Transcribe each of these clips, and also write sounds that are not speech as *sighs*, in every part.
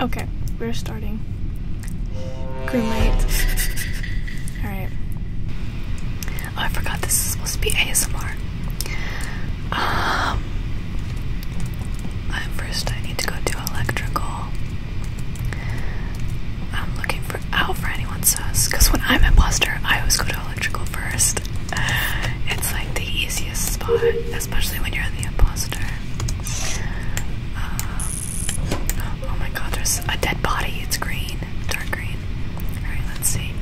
Okay, we're starting. Crewmate. *laughs* Alright. Oh, I forgot this is supposed to be ASMR. Um, first I need to go do electrical. I'm looking for out for anyone sus. Cause when I'm in Buster, I always go to electrical first. It's like the easiest spot, especially when you're the imposter. Um, oh my god, there's a dead body. It's green, dark green. Alright, let's see.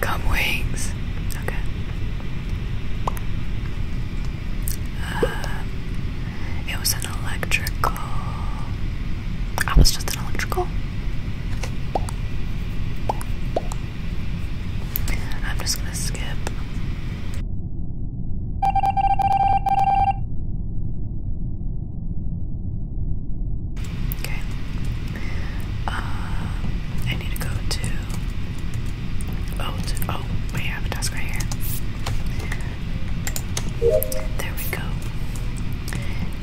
Come *gasps* wings. Okay. Uh, it was electrical. I was just an electrical. I'm just gonna skip. Okay. Uh, I need to go to. Oh, oh, wait, have a desk here. There we go.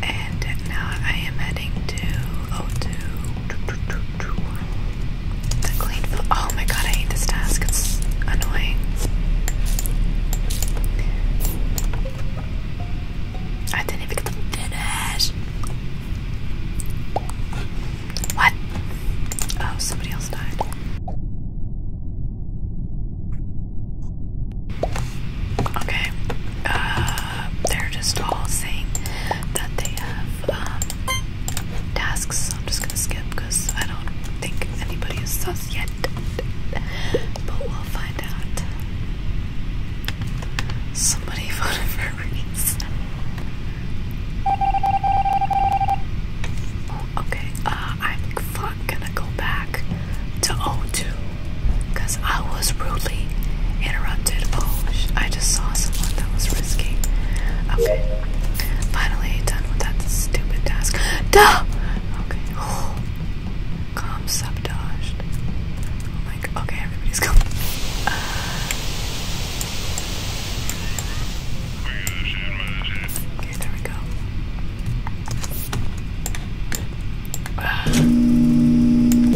And now I am heading to oh to the clean. Oh my god, I hate this task. It's annoying. I didn't even get the finish. What? Oh, somebody else died. Okay, uh, they're just all saying that they have um, tasks. I'm just gonna skip I don't think anybody is sus yet, but we'll find out. Somebody *laughs* voted for Reese. Oh, okay, uh, I'm fuck gonna go back to O2 because I was rudely interrupted. Oh, I just saw someone that was risky. Okay, finally done with that stupid task. Duh! *gasps* Okay, oh, *gasps* calm sabotaged. I'm oh okay, everybody's coming. *laughs* okay, there we go. And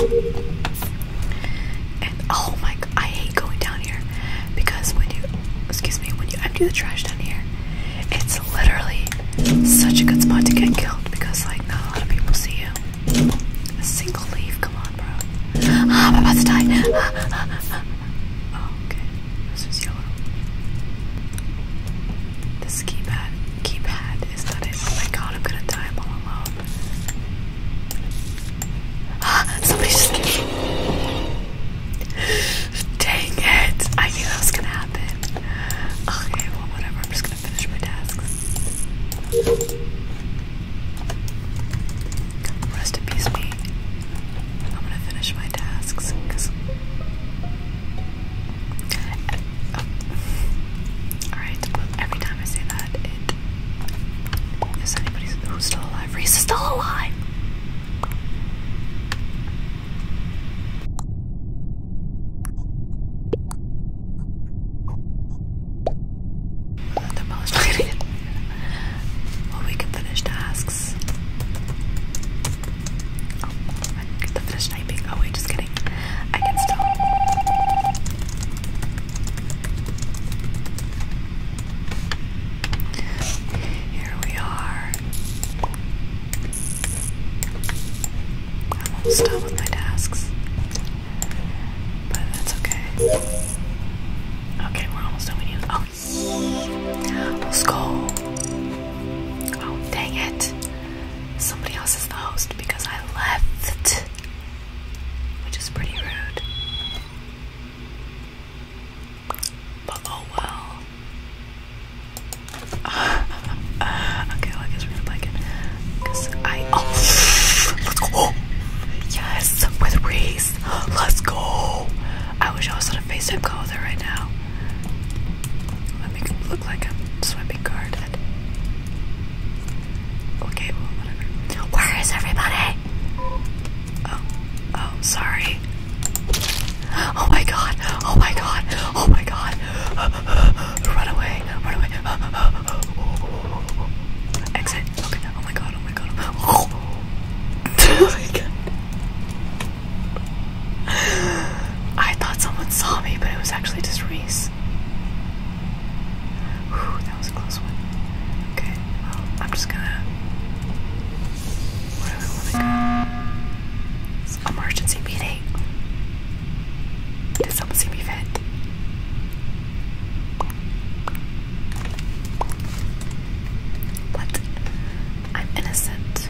oh my god, I hate going down here because when you, excuse me, when you empty the trash down here, it's literally such a good spot to get killed because like not a lot of people see you. A single leaf, come on, bro. Ah, I'm about to die. Ah, ah, oh, okay, this is yellow. This keypad keypad is not it. Oh my god, I'm gonna die I'm all alone. Ah, somebody just gave Dang it! I knew that was gonna happen. Okay, well whatever, I'm just gonna finish my tasks. Rest in peace me. I'm gonna finish my tasks Alright, every time I say that, it. Is anybody who's still alive? Reese is still alive! The most Well, we can finish tasks. Oh, I get to finish typing. Oh wait, just kidding. I can still. Here we are. I'm almost done with my tasks, but that's okay. Okay, we're almost done. We need. Oh, let's *gasps* go. Oh, dang it somebody else is the host because I left, which is pretty rude. But oh well. *laughs* okay, I guess we're gonna blanket. Cause I oh! let's go. Yes, with Reese. Let's go. I wish I was on a FaceTime call with her right now. Let me look like I'm swiping card Okay, whatever. Where is everybody? Oh, oh, sorry. Oh my god, oh my god, oh my god. Run away, run away. Exit. Okay, oh my god, oh my god. oh my god. *laughs* Oh I thought someone saw me, but it was actually just Reese. Whew, that was close one. Okay, well, I'm just gonna. Where do I want to go? emergency meeting. Did someone see me vent? What? I'm innocent.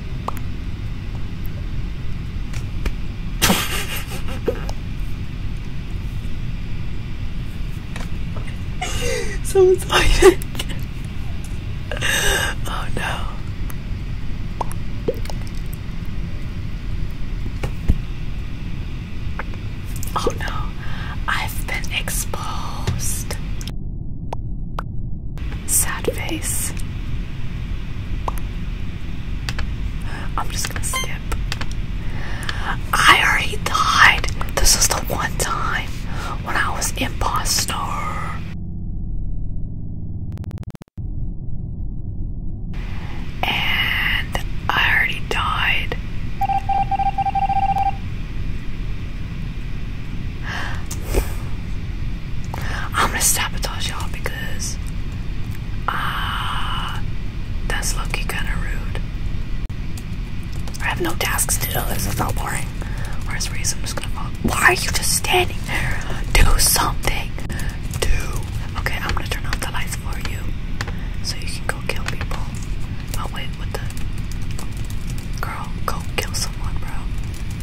*laughs* Someone's hiding. oh no. Oh no, I've been exposed. Sad face. I'm just gonna skip. I already died. This is the one time when I was impostor, And I already died. I'm gonna sabotage y'all because ah, that's lucky kind of rude. I have no tasks to do. This is all boring. Where's reason? I'm just gonna Why are you just standing there? Do something. Do. Okay, I'm gonna turn off the lights for you, so you can go kill people. Oh wait, what the? Girl, go kill someone, bro.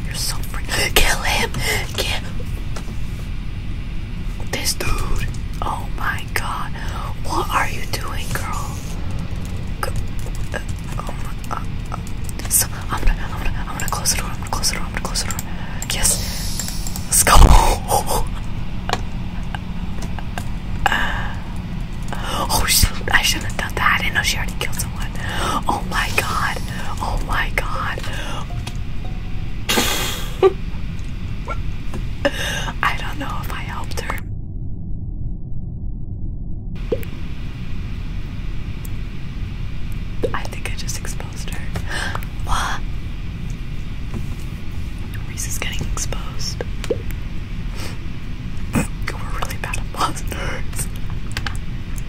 You're so freaking. Kill him! Kill this dude. Oh my god. What are you doing, girl? Go uh, oh my, uh, uh. So, I'm gonna, I'm gonna, I'm gonna close the door. I'm gonna close the door. I'm gonna close the door. Yes. Let's go. *laughs* Oh, she, I shouldn't have done that. I didn't know she already killed Oh my god. Oh my god. *laughs* I don't know if I helped her. I think I just exposed her. *gasps* What? Reese is getting exposed. *laughs* We're really bad at monsters.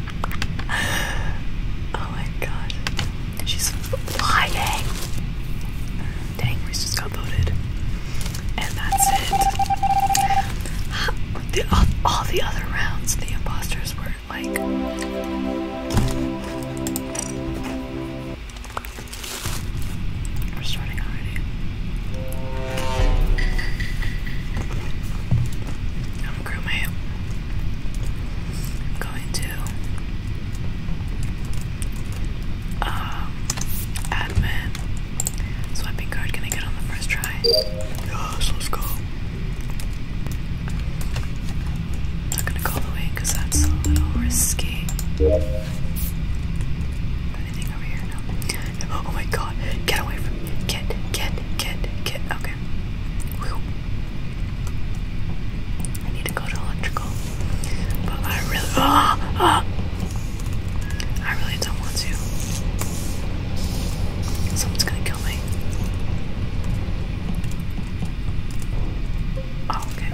*laughs* oh my god. She's flying. Dang, we just got voted. And that's it. all, all the other rounds, the imposters were like. We're starting already. I'm a I'm going to um, admin swiping card. Can I get on the first try? Yes, let's not gonna call the that's a little risky. Anything over here? Oh my god! Get away from me! Get, get, kid, kid, Okay. I need to go to electrical. But I really. Oh, *gasps* oh. I really don't want to. Someone's gonna kill me. Oh, okay.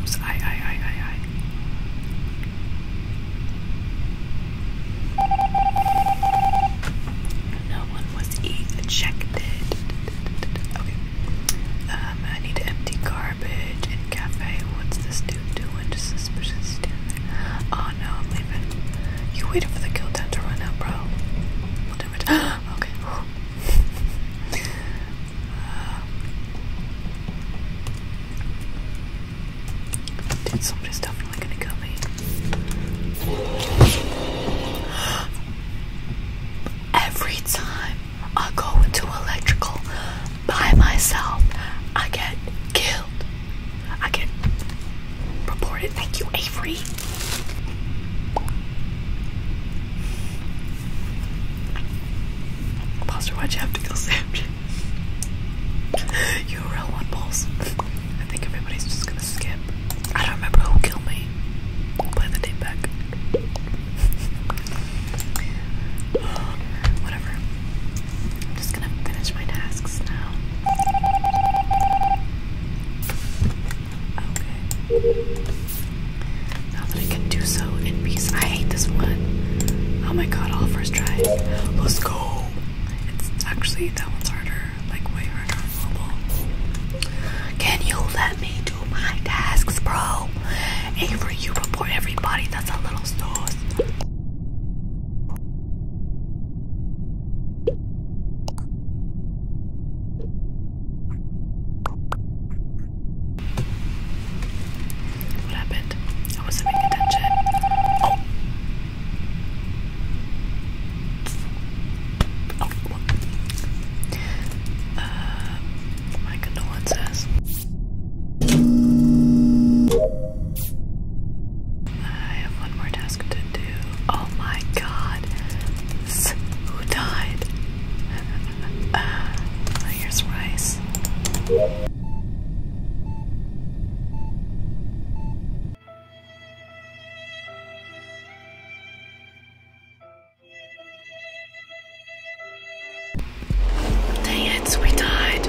Oops, I, I, I, I, I. No one was ejected. Okay. Um, I need to empty garbage in cafe. What's this dude doing? Just suspicious dude. Oh no, I'm leaving. You waited for the kill tent to run out, bro. We'll oh, do it. *gasps* okay. uh, *sighs* dude, somebody's definitely gonna kill me. *gasps* Every time I go into electrical by myself, I get killed. I can report it. Thank you, Avery. Buster, why'd you have to kill *laughs* Sam? You're a real one, Balls. I think everybody's just gonna skip. I don't remember who killed me. play the tape back. *sighs* Whatever gonna finish my tasks now. Okay. Now that I can do so in peace. I hate this one. Oh my god, all first try. Let's go. It's actually that one's harder, like way harder on mobile. Can you let me do my tasks, bro? Avery, you report everybody that's a little sauce. What happened? I wasn't paying attention. Oh. Oh, what? Uh, my condolences. I have one more time. Oh my god. who died? *laughs* Uh, here's rice. Dang it, we died.